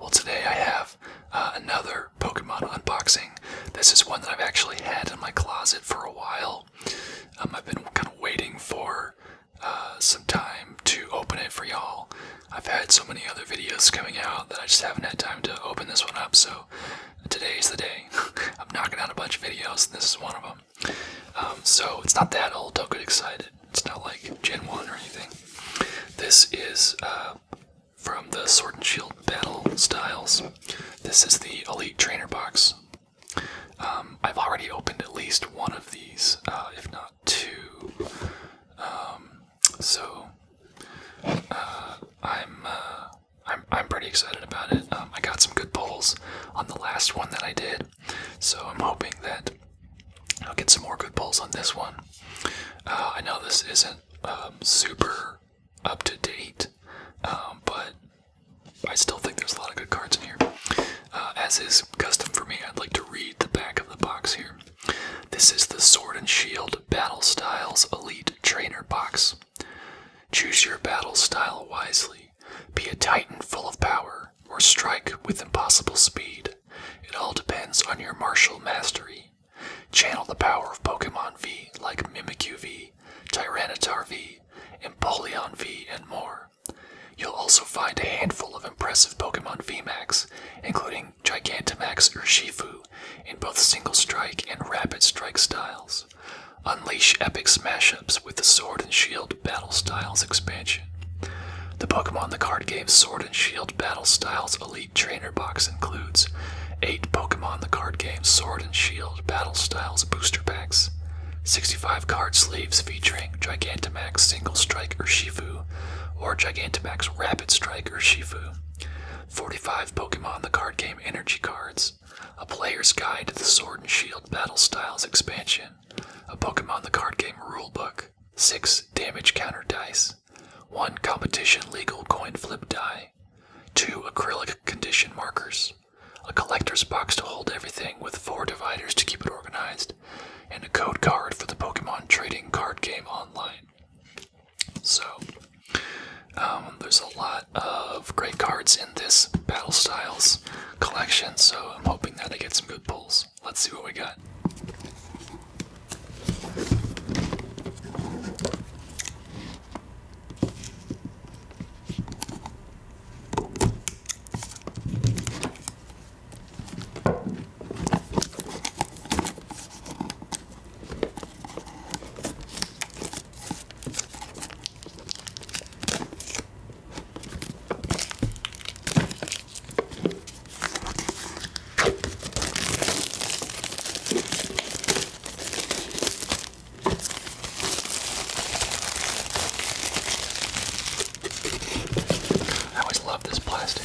Well, today I have uh, another Pokemon unboxing. This is one that I've actually had in my closet for a while. Um, I've been kind of waiting for uh, some time to open it for y'all. I've had so many other videos coming out that I just haven't had time to open this one up, so today's the day. I'm knocking out a bunch of videos, and this is one of them. Um, so it's not that old, don't get excited. It's not like Gen 1 or anything. This is uh, from the Sword and Shield Battle Styles. This is the Elite Trainer Box. Um, I've already opened at least one of these, uh, if not two. Um, so uh, I'm, I'm I'm pretty excited about it. Um, I got some good pulls on the last one that I did, so I'm hoping that I'll get some more good pulls on this one. Uh, I know this isn't um, super up to date, um, but I still think there's a lot of good cards in here. Uh, as is custom for me, I'd like to read the back of the box here. This is the Sword and Shield Battle Styles Elite Trainer Box. Choose your battle style wisely. Be a titan full of power, or strike with impossible speed it. all depends on your martial mastery. Channel the power of Pokemon V like Mimikyu V, Tyranitar V, Empoleon V, and more. You'll also find a handful of impressive Pokemon V Max, including Gigantamax Urshifu, in both Single Strike and Rapid Strike styles. Unleash epic smash-ups with the Sword and Shield Battle Styles expansion. The Pokemon the card game Sword Sword and Shield battle styles Elite Trainer Box includes 8 Pokemon the card game Sword and Shield battle styles booster packs, 65 card sleeves featuring Gigantamax Single Strike Urshifu or Gigantamax Rapid Strike Urshifu, 45 Pokemon the card game energy cards, a player's guide to the Sword and Shield battle styles expansion, a Pokemon the card game rulebook, 6 damage counter dice, 1 competition legal coin flip die, 2 acrylic condition markers, a collector's box to hold everything with 4 dividers to keep it organized, and a code card for the Pokemon trading card game online. So, um, there's a lot of great cards in this Battle Styles collection, so I'm hoping that I get some good pulls. Let's see what we got. I always love this plastic.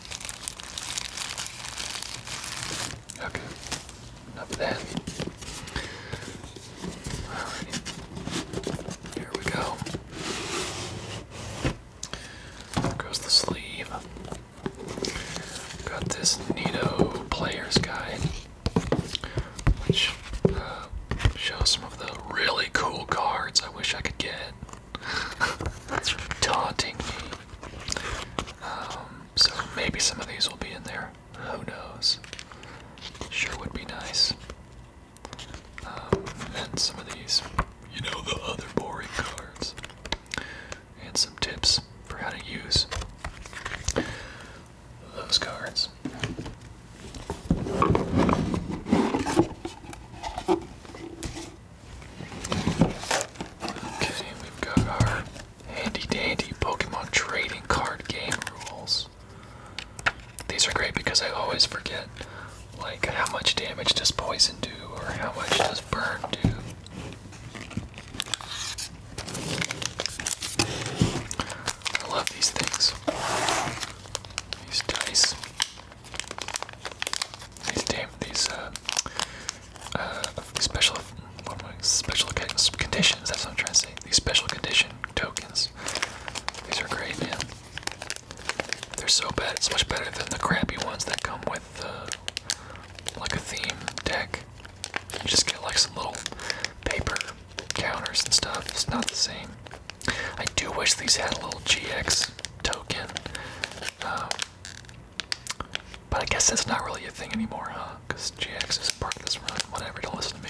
Okay, enough of here we go. There goes the sleeve. Got this Neato Player's Guide, which uh, shows some of the really cool cards I wish I could get. That's taunting me. Um, so maybe some of these will be in there. Who knows? Sure would be nice. Um, and some of these, you know, the other boring cards. And some tips for how to use those cards. Okay, we've got our handy dandy Pokemon trading card game rules. These are great because I always forget, like, how much damage does poison do or how much does burn do. I love these things. These dice. These damn these uh, uh, special what am special conditions. That's what I'm trying to say. These special condition tokens. These are great, man. They're so bad. It's much better than the crappy ones that come with uh, like a theme deck. You just get like some little paper counters and stuff. It's not the same. I do wish these had a little GX token. Um, but I guess that's not really a thing anymore, huh? Because GX is part of this run. Whatever, To listen to me.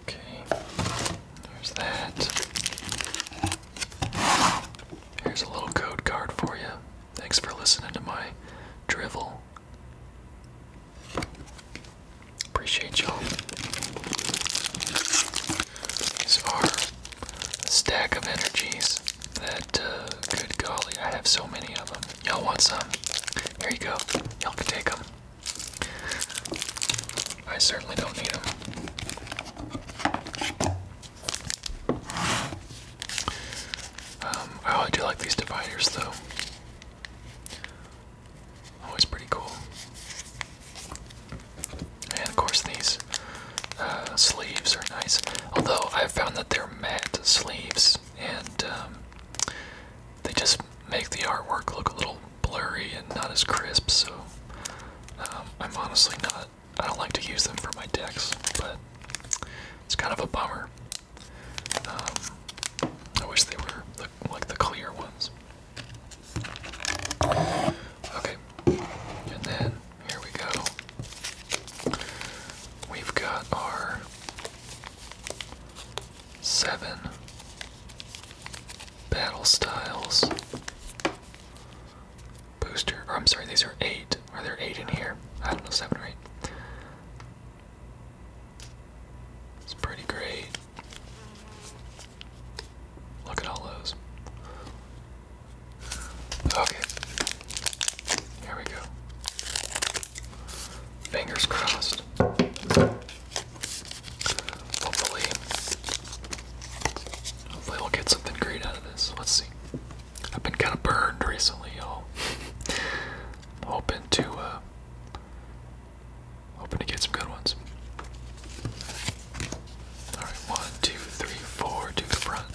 Okay, there's that. Here's a little code card for you. Thanks for listening to my drivel. Appreciate y'all. These are a stack of energies that, uh, good golly, I have so many of them. Y'all want some? Here you go. Y'all can take them. I certainly don't need them. Um, oh, I do like these dividers though. Always oh, pretty cool. And of course these uh, sleeves are nice. Although I've found that they're matte sleeves and um, they just make the artwork look a little blurry and not as crisp so um, I'm honestly not I don't like to use them for my decks, but it's kind of a bummer. Um, I wish they were like the clear ones. Okay, and then here we go. We've got our seven battle styles booster. Or I'm sorry, these are eight. Are there eight in here? I don't know, seven or eight. It's pretty great. Look at all those. Okay. Here we go. Fingers crossed. Hopefully, hopefully we'll get something great out of this. Let's see. I've been kind of burned recently, i all hoping to, uh, hoping to get some good ones. All right, one, two, three, four to the front.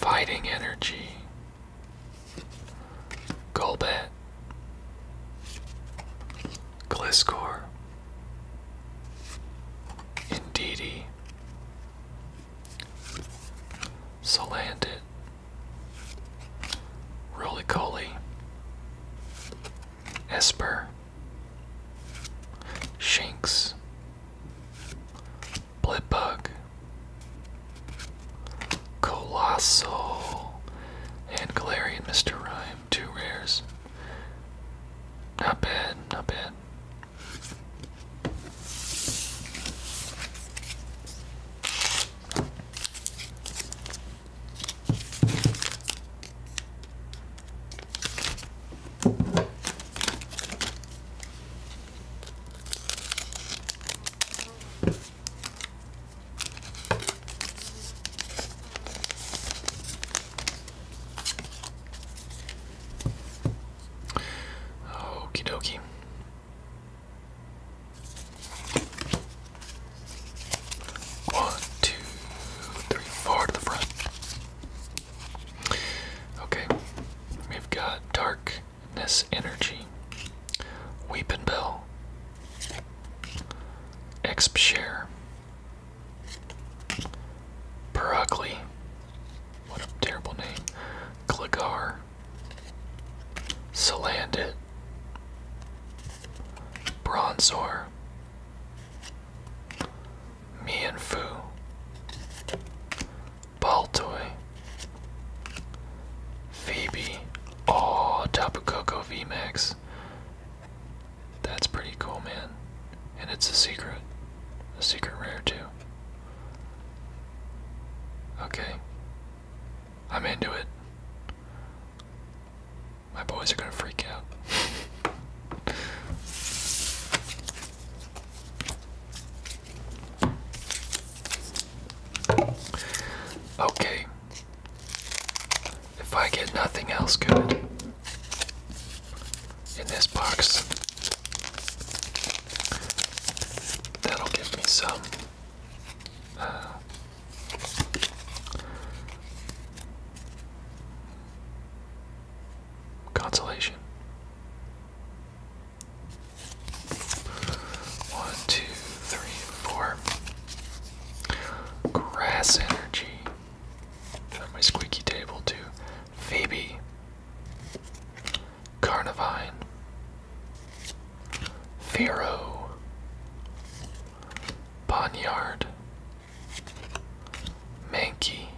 Fighting energy. Golbat. Gliscor. Indeedy. Solandit. Roly Coly. Esper. Shinx. Blitbug. Colossal. And Galarian Mr. Rhyme two rares. Not bad, not bad. Okie dokie. One, two, three, four to the front. Okay, we've got darkness energy, weepin' bell, exp share, Perugly. What a terrible name. Gligar. Salandit. Bronzor. Mianfu. Baltoy. Phoebe. Oh, Tapu Koko VMAX. That's pretty cool, man. And it's a secret. A secret rare, too. Okay. I'm into it. My boys are gonna freak out. Okay if I get nothing else good in this box, that'll give me some uh, consolation. One, two, three, four. Grass energy from my squeaky table to Phoebe, Carnivine, Pharaoh, Ponyard, Mankey,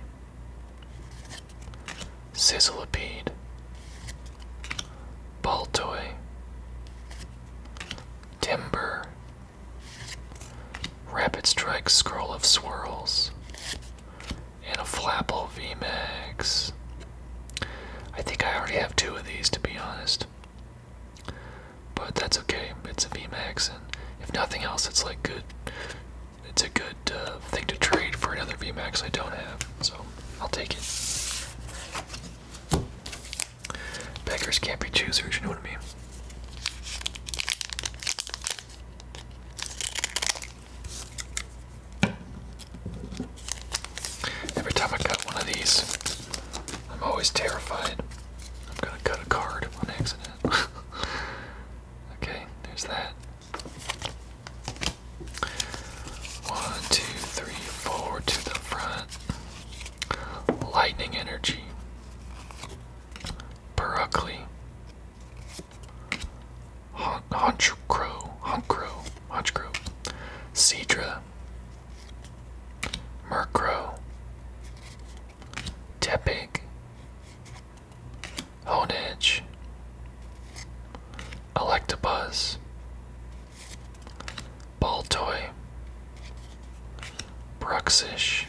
Sizzlipede, Baltoy, Timber, Rapid Strike Scroll of Swirls, and a Flapple VMAX. I think I already have two of these to be honest. But that's okay, it's a VMAX, and if nothing else, it's like good. It's a good uh, thing to trade for another VMAX I don't have, so I'll take it. Beggars can't be choosers, you know what I mean? Every time I cut one of these, I'm always terrified. I'm gonna cut a card on accident. okay, there's that. One, two, three, four to the front. Lightning Energy, Berkeley, Hon Honchcrow, Honchcrow, Honchcrow, Cedra, Murkrow, Honedge, Electabuzz, Baltoy, Bruxish,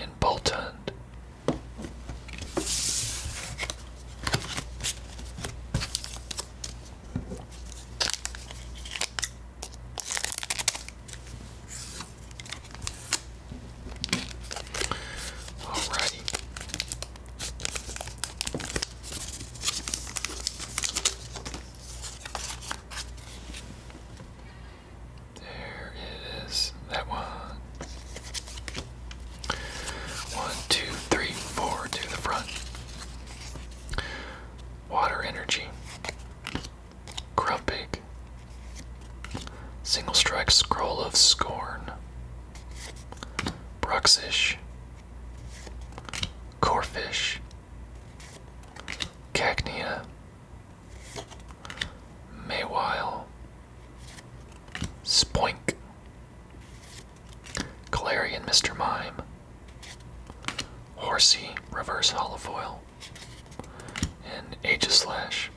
and Boltund. Alrighty. There it is. That one. One, two, three, four to the front. Water energy. Grumpig. Single strike scroll of scorn. Bruxish. Corfish. Cagnia, Maywile, Spoink, Galarian Mr. Mime, Horsey, Reverse Holofoil, and Aegislash.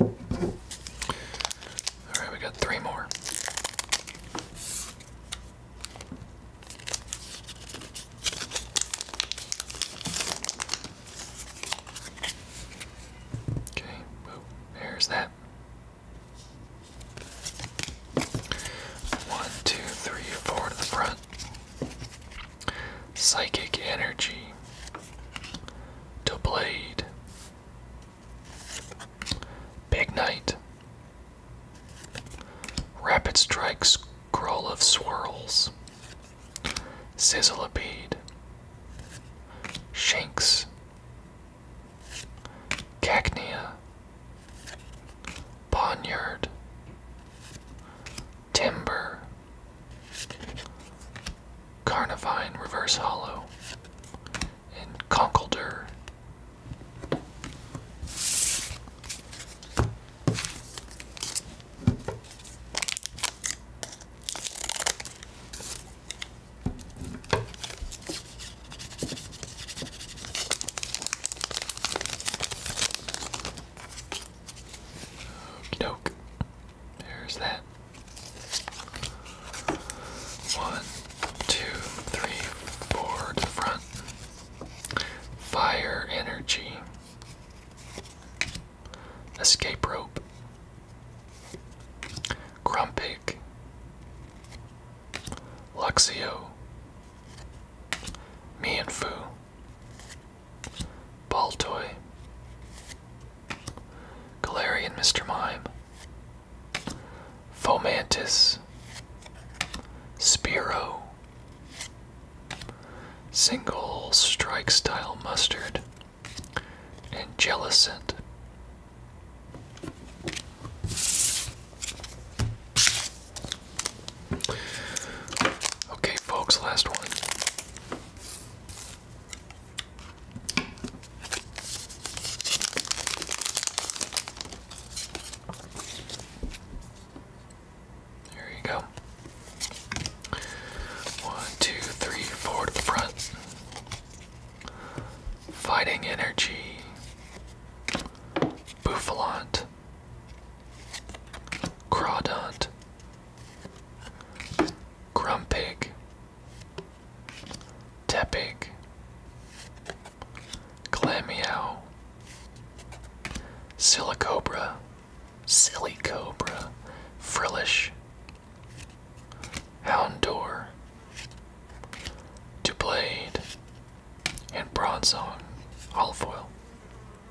All right, we got three more. Okay, boom, there's that. One, two, three, four to the front. Psychic Energy, To Blade, Big Knight, Rapid Strike Scroll of Swirls, Sizzlebead, Shanks, Cacnea, Poniard, Timber. Carnivine Reverse Hollow. And Conkeldurr. Doke. There's that. One, two, three, four front. Fire energy. Escape rope. Grumpig. Luxio. Mianfu. Baltoy, Galarian Mr. Mime, Fomantis, Spiro, Single Strike Style Mustard, and Jellicent. Okay, folks, last one. There you go. One, two, three, four to the front. Fighting energy. Buffalant. Crawdont. Grumpig. Tepig. Glammeow. Silicobra. Silly Cobra. Frillish. Houndour. Dublade. And Bronzong. Olive oil.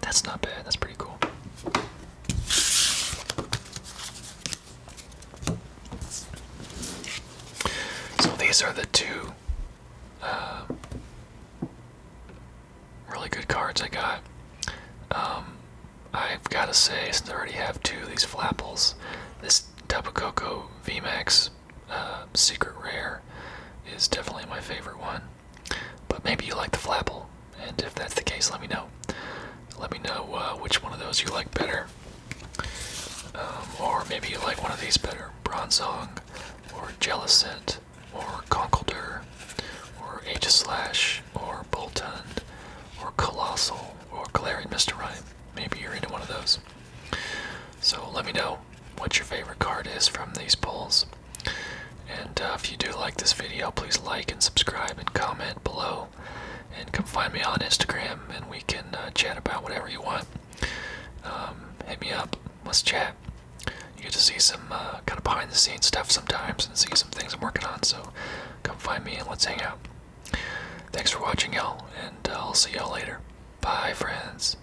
That's not bad. That's pretty cool. So these are the two uh, really good cards I got. Um, I've got to say, since I already have two of these flapples, this Tapu Koko VMAX Secret Rare is definitely my favorite one. But maybe you like the Flapple, and if that's the case, let me know. Let me know uh, which one of those you like better. Um, or maybe you like one of these better Bronzong, or Jellicent, or Conkeldurr, or Aegislash, or Boltund, or Colossal, or Glaring Mr. Rhyme. Maybe you're into one of those. So let me know what your favorite card is from these polls. And uh, if you do like this video, please like and subscribe and comment below. And come find me on Instagram and we can uh, chat about whatever you want. Um, hit me up. Let's chat. You get to see some uh, kind of behind the scenes stuff sometimes and see some things I'm working on. So come find me and let's hang out. Thanks for watching, y'all, and I'll see y'all later. Bye, friends.